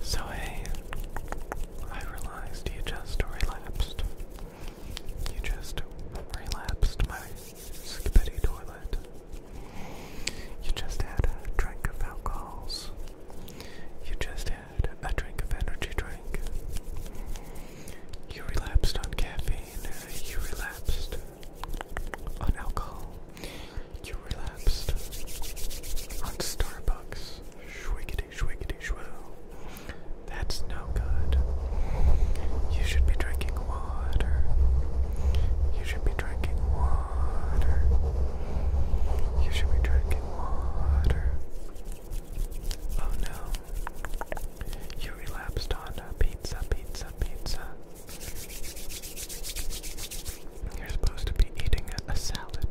So I realized you just relapsed. You just relapsed my skibbity toilet. You just had a drink of alcohols. You just had a drink of energy drink. You relapsed on caffeine. You relapsed on alcohol you relapsed on Starbucks. Shwiggity shwiggity shwoo. That's no good. You should be drinking water. You should be drinking water. You should be drinking water. Oh no. You relapsed on a pizza, pizza, pizza. You're supposed to be eating a salad.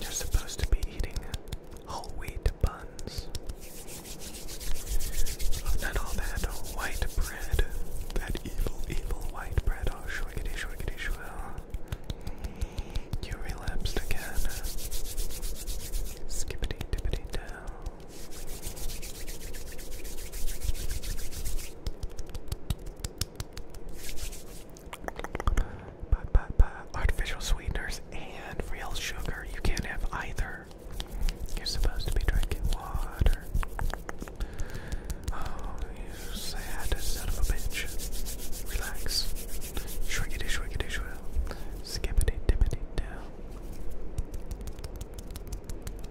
You're supposed to be eating whole wheat buns. Not all that white bread. That evil, evil white bread. Oh, shwiggity, shwiggity, shwill. You relapsed again. Skippity, dippity, down artificial sweeteners and real sugar, you can't have either. You're supposed to be drinking water. Oh, you sad son of a bitch. Relax. Shriggity,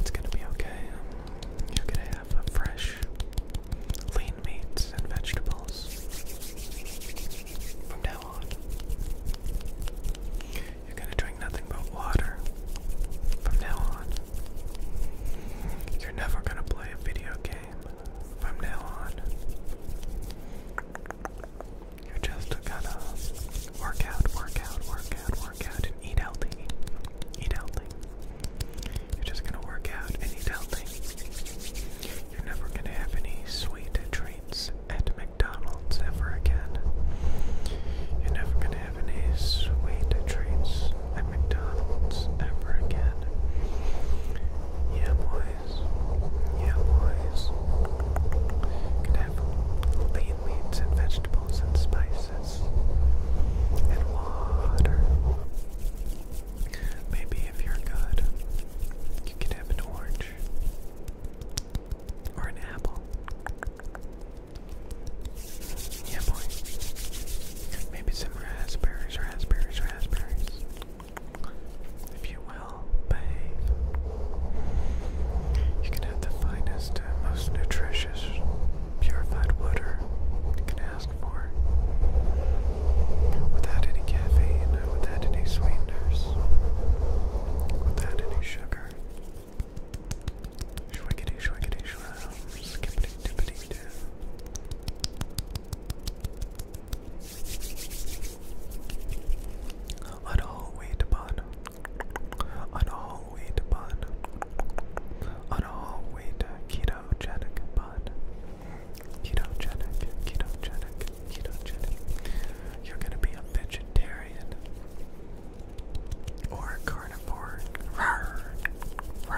It's gonna be okay. You're gonna have a fresh, lean meats and vegetables from now on. You're going to drink nothing but water from now on. You're never going to play a video game from now on. You're just gonna work out, work out, work out, work out, and eat healthy. Eat healthy. You're just gonna work out and eat You're never gonna have any sweet treats at McDonald's ever again. You're never gonna have any sweet treats at McDonald's ever again. Yeah, boys. Yeah, boys. Could have lean meats and vegetables and spices and water. Maybe if you're good, you can have an orange or an apple. Yeah, boy. Maybe some raspberries, raspberries, raspberries. If you will behave, you can have the finest, uh, most nutritious purified water you can ask for without any caffeine, without any sweeteners, without any sugar. Shwiggity, shwiggity, shroud, skippity, dippity, dip. On a whole wheat bun, on a whole wheat bun, on a whole wheat ketogenic Ketogenic, ketogenic, ketogenic. You're gonna be a vegetarian or a carnivore. I'm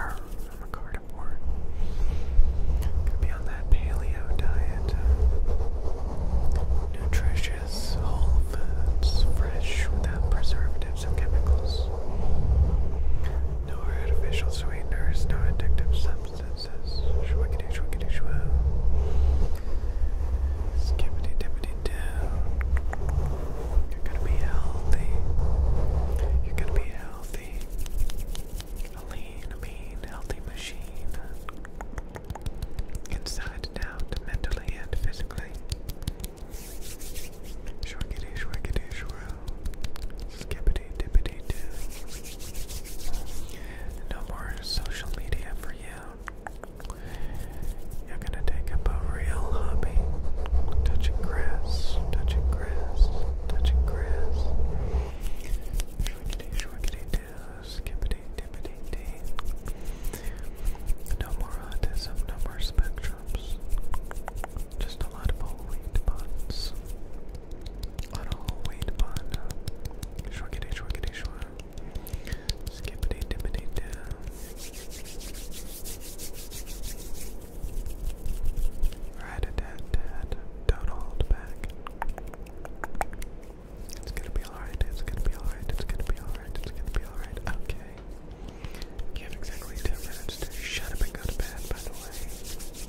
a carnivore. Gonna be on that paleo diet. Nutritious, whole foods, fresh, without preservatives or chemicals. No artificial sweeteners, no addictive substances. Shwiggity shwiggity shwoo. Skippity dippity doo. You're gonna be healthy. You're gonna be healthy. A lean, mean, healthy machine. Inside and out, mentally and physically. Shorkity, shorkity, shorel. Skippity, dippity, doo. No more social media for you. You're gonna take up a real hobby. Touching grass, touching grass, touching grass. Shorkity, shorkity, doo. Skippity, dippity, dee. No more autism, no more spectrums. Just not a lot of weight buns. A lot of all weight bun. Shruggity, shruggity, shrug. Right a tat tat. Don't hold back. It's gonna be alright, it's gonna be alright, it's gonna be alright, it's gonna be alright. Okay. You have exactly 10 minutes to shut up and go to bed, by the way.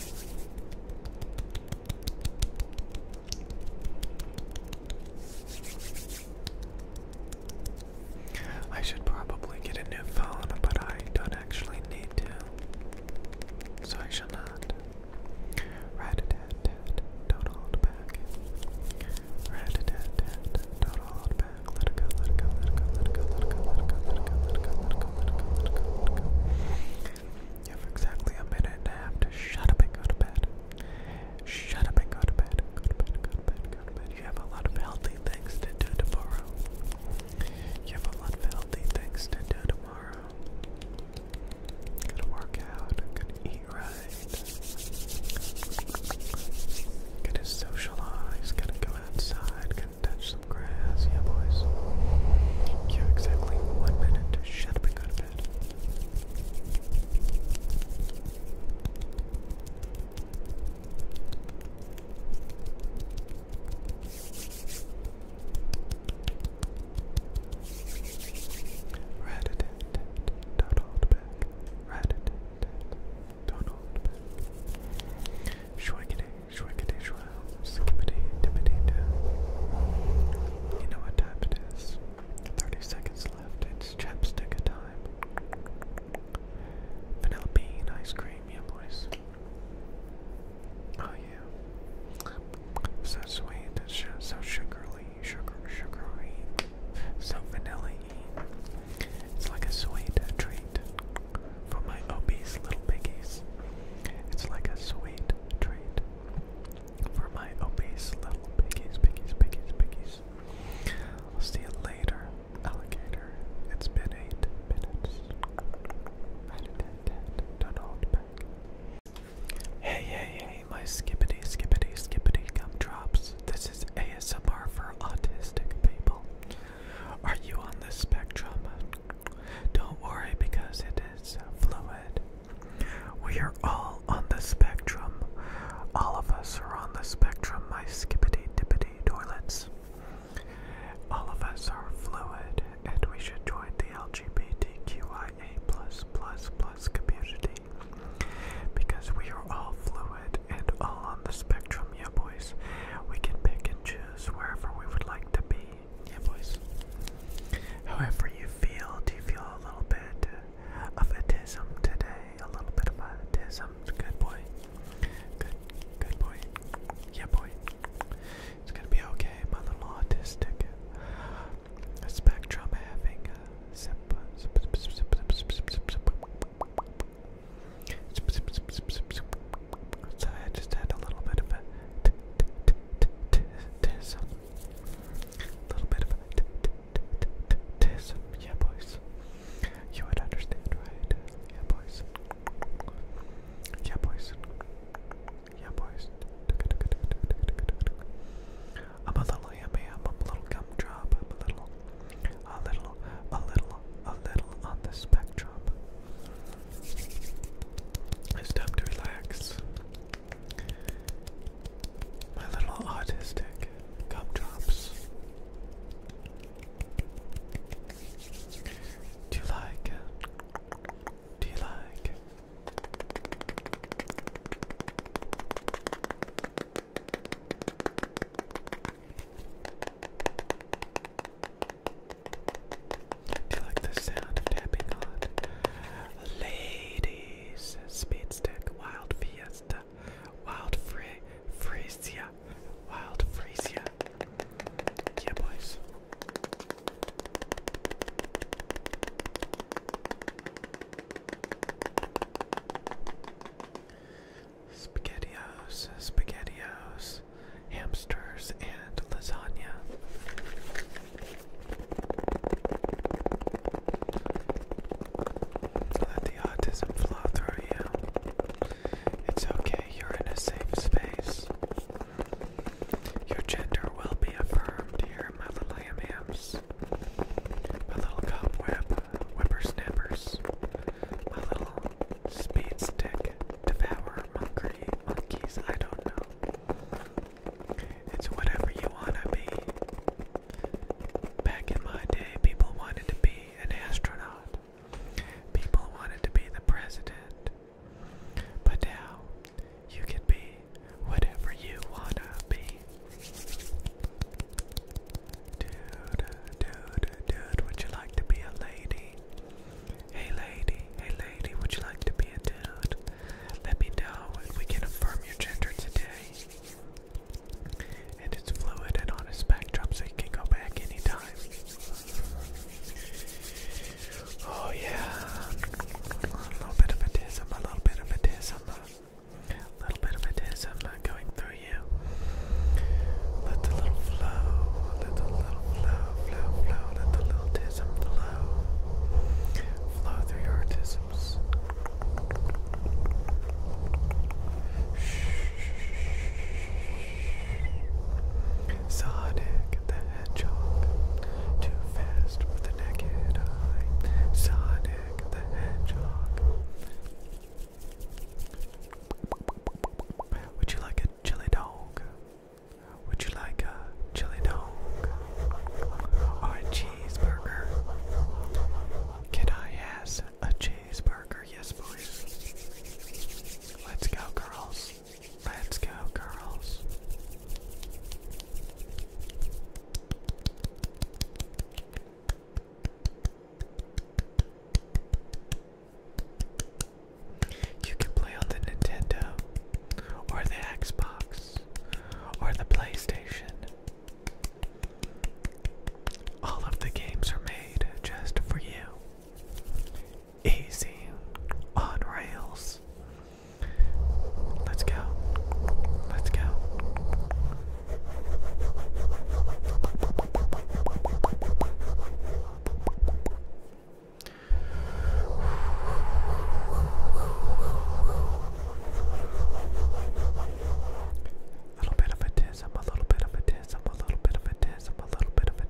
I should probably get a new phone, but I don't actually need to, so I shall not. Rat a don't hold back. Rat a don't hold back. let it go, let it go, let it go, let it go, let it go, let it go, let it go, let it go, good, You have exactly a minute and a half to shut up and go to bed. Shut up and go to bed. Go to bed, go to bed, go to bed. You have a lot of healthy things to do tomorrow. You have a lot of healthy things to do tomorrow. Gonna work out, gonna eat right, gonna socialize, gonna go outside, touch some grass. Yeah, boys. You have exactly one minute to shut up and go to bed. Rat a tat tat, don't hold back. Rat a tat tat, don't hold back. Shwaggy day, Shwekadeshwa, skippity, dippity, doo. You know what time it is. 30 seconds left, it's chapstick time. Vanilla bean, ice cream, yeah boys. Oh yeah. So sweet, sh so sugary, sugar, sugary, so vanilla It's like a sweet treat for my obese little pickies, It's like a sweet treat for my obese little pickies, pickies, pickies, pickies. I'll see you later, alligator. It's been eight minutes. Hey, hey, hey, my skippity, skippity, skippity gumdrops. This is ASMR for autistic people. Are you on the spectrum? Don't worry because it is fluid. We are all on the spectrum. All of us are on the spectrum, my skippity dippity toilets. All of us are fluid and we should join the LGBTQIA plus plus plus community because we are all fluid and all on the spectrum, yeah boys. We can pick and choose wherever we would like to be yeah, boys. However you feel, do you feel a little bit of autism today? A little bit of autism. Good boy. Good, good boy. Yeah, boy. It's gonna be okay. My little autistic spectrum having a sip, so I just had a little bit of a tism. A little bit of a tism. Yeah, boys. You would understand, right? Yeah, boys. Yeah, boys. Yeah, boys. I'm a little yummy. I'm a little gumdrop. I'm a little, a little, a little, a little on the spectrum. It's time to relax. My little autistic gumdrops. Do you like? Do you like? Do you like the sound of tapping on? Ladies, Speedstick, Wild Fiesta, Wild Free, Freesia, Wild Freesia. Yeah, boys. Spaghettios, spaghettios hamsters, and lasagna. Let the autism flow through you. It's okay, you're in a safe space. Your gender will be affirmed here, my my little cobweb whippersnappers, my little Speed stick. Devour monkey monkeys. I don't know. It's whatever you wanna be. Back in my day, people wanted to be an astronaut. People wanted to be the president. But now, you can be whatever you wanna be. Dude, dude, dude, would you like to be a lady? Hey lady, hey lady, would you like to be a dude? Let me know and we can affirm your gender today. And it's fluid and on a spectrum so you can go back anytime. Oh yeah. A little bit of autism, a little bit of autism. A little bit of autism uh, going through you. Let the little flow, let the little flow flow, flow, let the little tism flow. Flow through your tisms. Sonic the Hedgehog, too fast with the naked eye. Sonic the Hedgehog. Would you like a chili dog? Would you like a chili dog or a cheeseburger? Can I ask a cheeseburger? Yes, boys. Let's go, girls. Let's go, girls. You can play on the Nintendo, or the Xbox, or the PlayStation. All of the games are made just for you. Easy, on rails. Let's go. Let's go. A little bit of a tism, a little bit of a tism, a little bit of a tism, a little bit of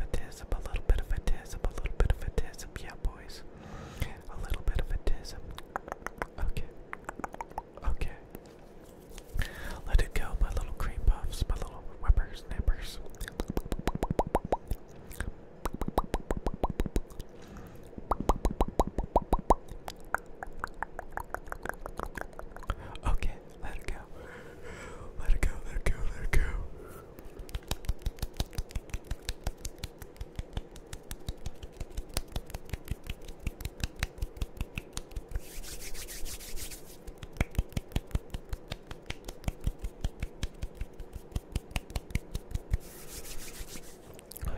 a tism, a little bit of a tism, a little bit of a tism, yeah, boys, a little bit of a tism. Okay, okay. Let it go, my little cream puffs, my little, whippersnappers. Okay, let it go. Let it go, let it go, let it go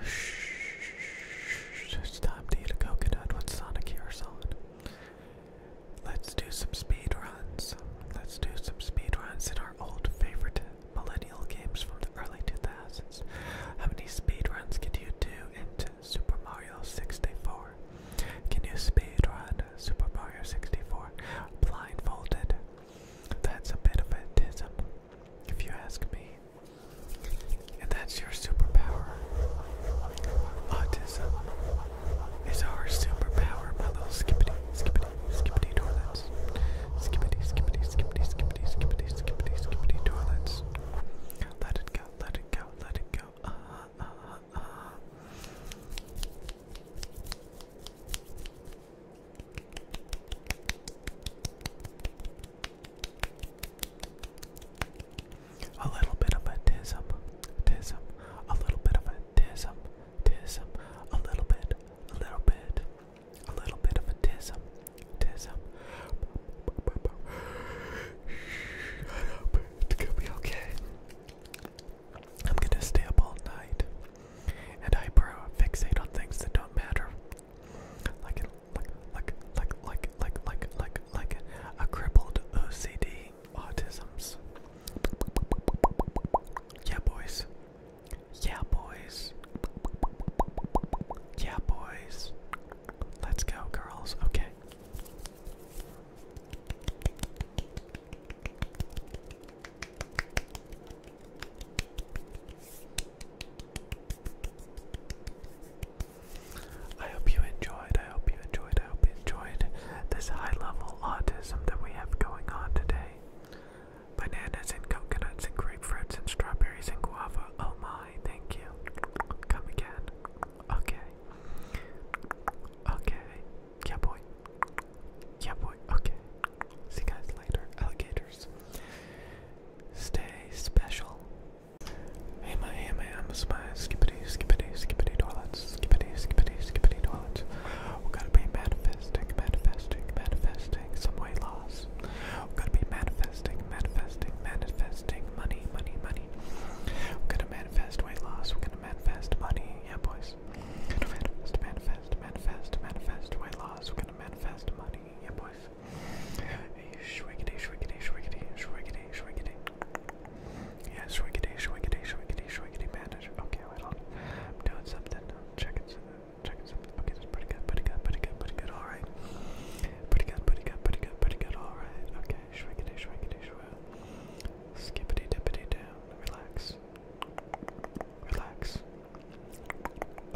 shh, it's time to eat a coconut with Sonic ears on. Let's do some speed runs. Let's do some speed runs in our old favorite millennial games from the early 2000s. How many speed runs could you do in Super Mario 64? Can you speedrun Super Mario 64 blindfolded? That's a bit of a tism, if you ask me. And that's your superpower. Autism is our superpower, my little skippity, skippity, skippity toilets. Skippity, skippity, skippity, skippity, skippity, skippity, toilets. Let it go, let it go, let it go. Uh-huh uh, uh, uh. A little bit of a tism, tism, a little bit of a tism, tism, a little bit, a little bit, a little bit of a tism, tism. Shut up, it's gonna be okay. I'm gonna stay up all night and I bro fixate on things that don't matter. like like like like like like like like a crippled OCD autisms. Yeah boys. Yeah boys. Yeah boys. Let's go girls. Okay. I hope you enjoyed, I hope you enjoyed, I hope you enjoyed this high level autism that we have going on today. Bananas and coconuts and grapefruits and strawberries and guava. Oh my, thank you. Come again. Okay. Okay. Yeah, boy. Yeah, boy. Okay. See you guys later, alligators. Stay special. Hey, my, hey, my, I'm a spy. Skippity, skippity, skippity toilets. Skippity, skippity, skippity toilets. We gotta be manifesting, manifesting, manifesting some weight loss. We gotta be manifesting, manifesting, manifesting money, money, money. We're gonna manifest weight loss. We're gonna manifest money. Yeah, boys manifest. Manifest, manifest, manifest, manifest weight loss. We're gonna manifest money, yeah, boys. Shwiggity, shwiggity, shwiggity, shwiggity, shwiggity. Yeah, shwiggity, shwiggity, shwiggity, shwiggity, manage. Okay, wait on. I'm doing something. I'm checking something. Checking Okay, that's pretty good, pretty good, pretty good, pretty good. All right. Pretty good, pretty good, pretty good, pretty good. All right. Okay, shwiggity, shwiggity, shwiggity. Skippity, dippity down. Relax. Relax.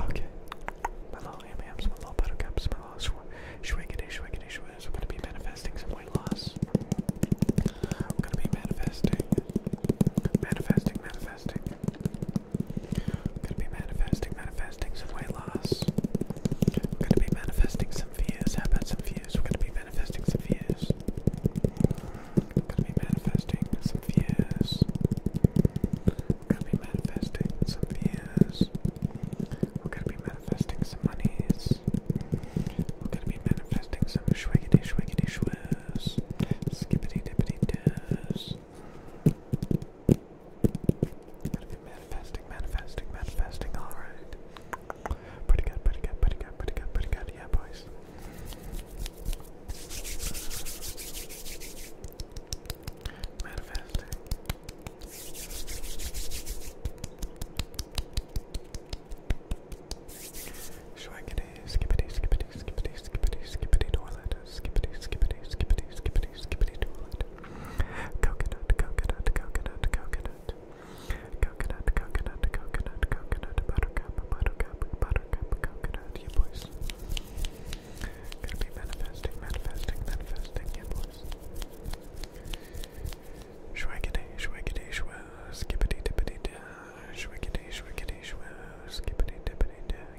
Okay. My little AMAMs, my little buttercups, my little shwiggity shwiggity shwiz. I'm gonna be manifesting some weight loss. I'm gonna be manifesting. Manifesting, manifesting. I'm gonna be manifesting, manifesting some weight loss. I'm gonna be manifesting some views. How about some views? We're gonna be manifesting some views. Could be manifesting some fears. Could be manifesting some fears. We're gonna be manifesting some monies. We're gonna be manifesting some shwiggity shwiggity shwirs. Skippity dippity doos. Gotta be manifesting, manifesting, manifesting, alright. Pretty good, pretty good, pretty good, pretty good, pretty good. Yeah, boys. Manifesting. Schwaggity, skippity, skippity, skippity, skippity, skippity toilet. Skippity, skippity, skippity, skippity, skippity toilet. Coconut, coconut, coconut, coconut. Coconut, coconut, coconut, coconut, buttercup, buttercup, buttercup, coconut, yeah boys. Gonna be manifesting, manifesting, manifesting, yeah boys. Shwaggity, shwaggity, shwa, skippity, dippity, da, shwaggity, shwaggity,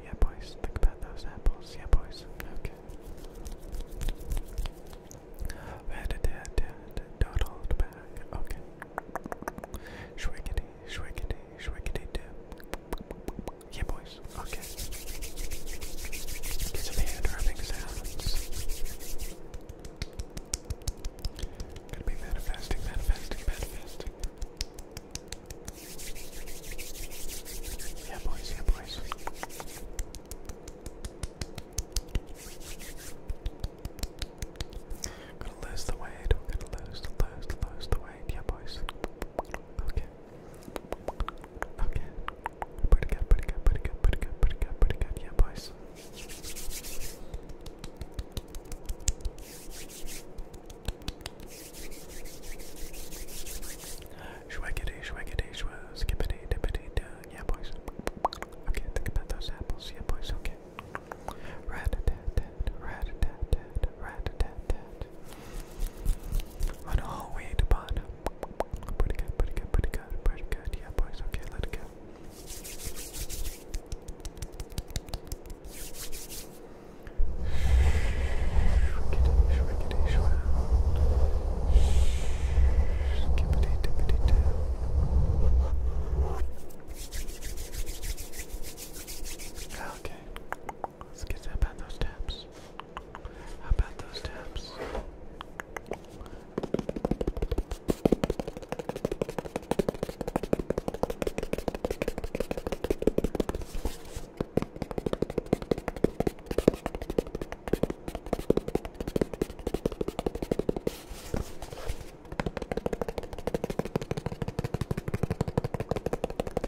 yeah boys. Think about those apples, yeah boys. Okay. Where did back? Okay. Shwiggity, shwiggity, shwiggity doo. Yeah, boys. Okay. Get some hand rubbing sounds. Gotta be manifesting, manifesting, manifesting. Yeah, boys, yeah, boys. Gonna lose the weight, gonna lose, lose, lose the weight, yeah boys. Okay. Okay. Pretty good, pretty good, pretty good, pretty good, pretty good, pretty good, yeah boys. Schwaggity, schwaggity, schwa, skippity, dippity, duh, yeah boys. Okay, think about those apples, yeah boys, okay. Rat-a-tat-tat, rat-a-tat-tat, rat-a-tat-tat. On a whole way to bottom. Pretty good, pretty good, pretty good, pretty good. Yeah, boys, okay, let it go. Skippity, dippity, doo. Okay. Let's get how about those taps. How about those taps?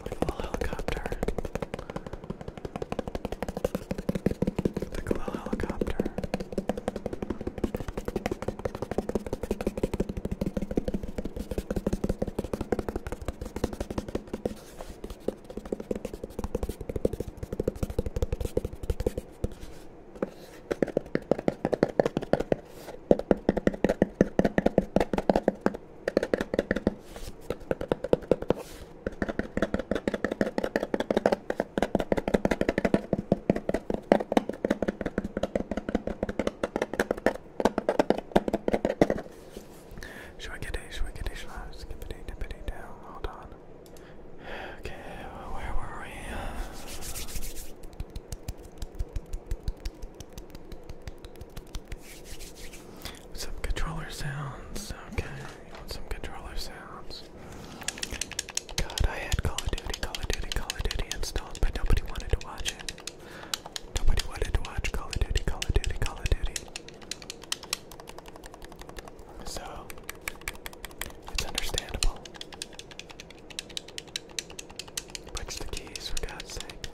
little helicopter. Like a little helicopter. Shwiggity, shwiggity, shlash, skippity, dippity, down, hold on. Okay, where were we? Some controller sounds. Okay, you want some controller sounds. God, I had Call of Duty, Call of Duty, Call of Duty installed, but nobody wanted to watch it. Nobody wanted to watch Call of Duty, Call of Duty, Call of Duty. So, it's understandable. Punch the keys, for God's sake.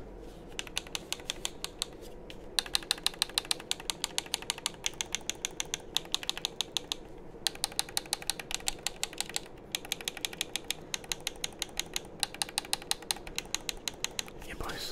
Yeah, boys.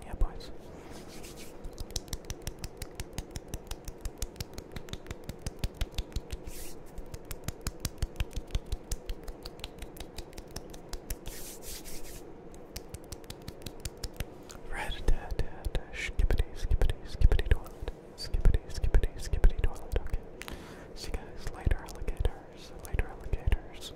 yeah, boys. Red skippity, skippity, skippity toilet, skippity, skippity, skippity toilet. Okay. See you guys later, alligators. Later, alligators.